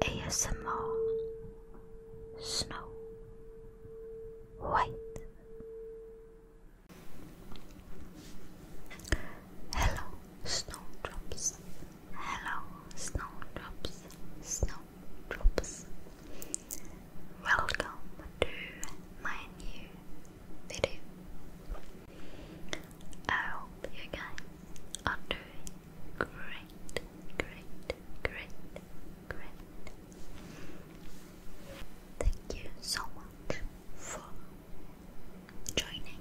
ASMR Snow White Hello Snowdrops Hello Snowdrops Snowdrops Welcome to my new video. I hope you guys are doing Great, great, great, great. Thank you so much for joining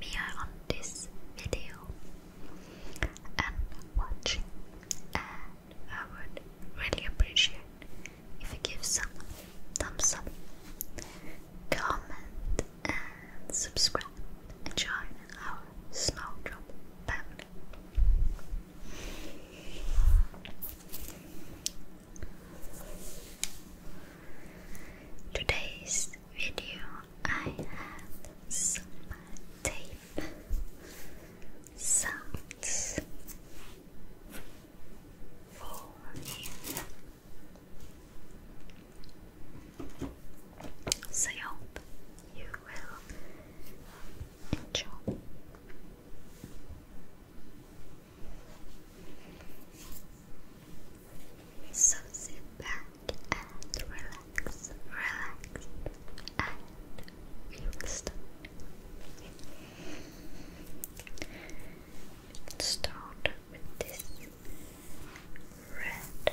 me on this video and watching. I would really appreciate if you give some thumbs up, comment, and subscribe and join our Snowdrop family. Today's video, I have some tape sounds for you. So I hope you will enjoy. So sit back and relax, relax, and we Let's start with this red.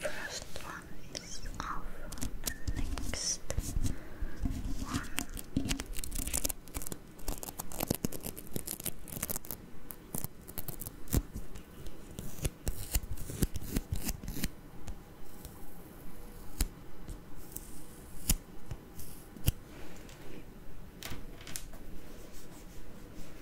First one is off, next one.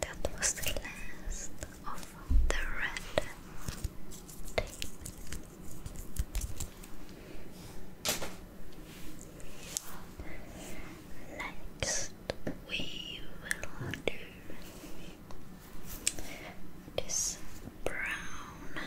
That was the last of the red Next, we will do this brown.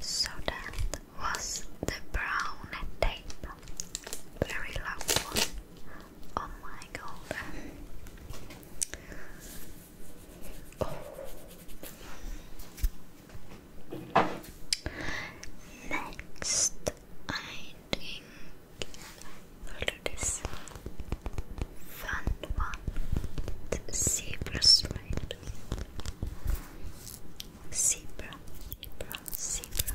So that was the brown tape. Very long one. Oh my god. Oh. Next, I think we'll do this fun zebra straight. Zebra, zebra, zebra.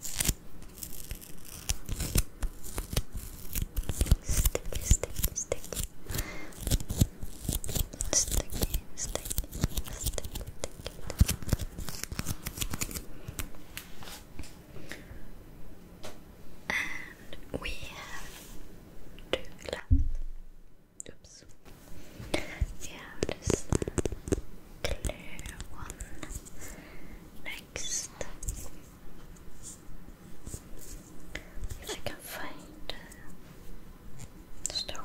Sticky, sticky, sticky. Sticky, sticky, sticky, sticky. And we have two left. Oops. We have this clear one next. If I can find uh, start.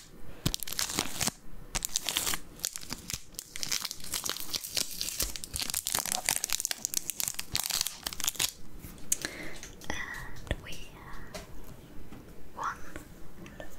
And we have one left.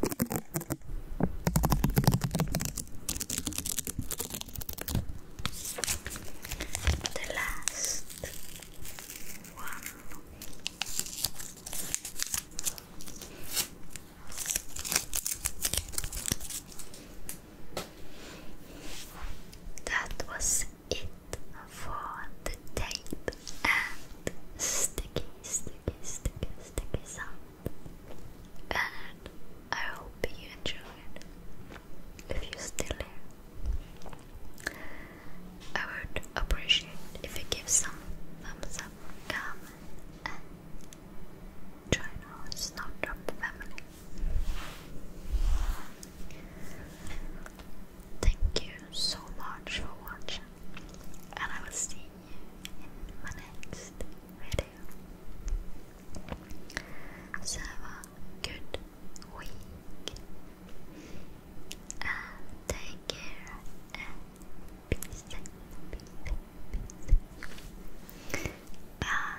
The last one. That was it for the tape and sticky, sticky, sticky, sticky sound and I hope you enjoyed. If you still here, I would appreciate if you give some thumbs up, comment, and join our Snowdrop family. Thank you so much for watching, and I will see in my next video. have uh, a good week uh, take care Bye.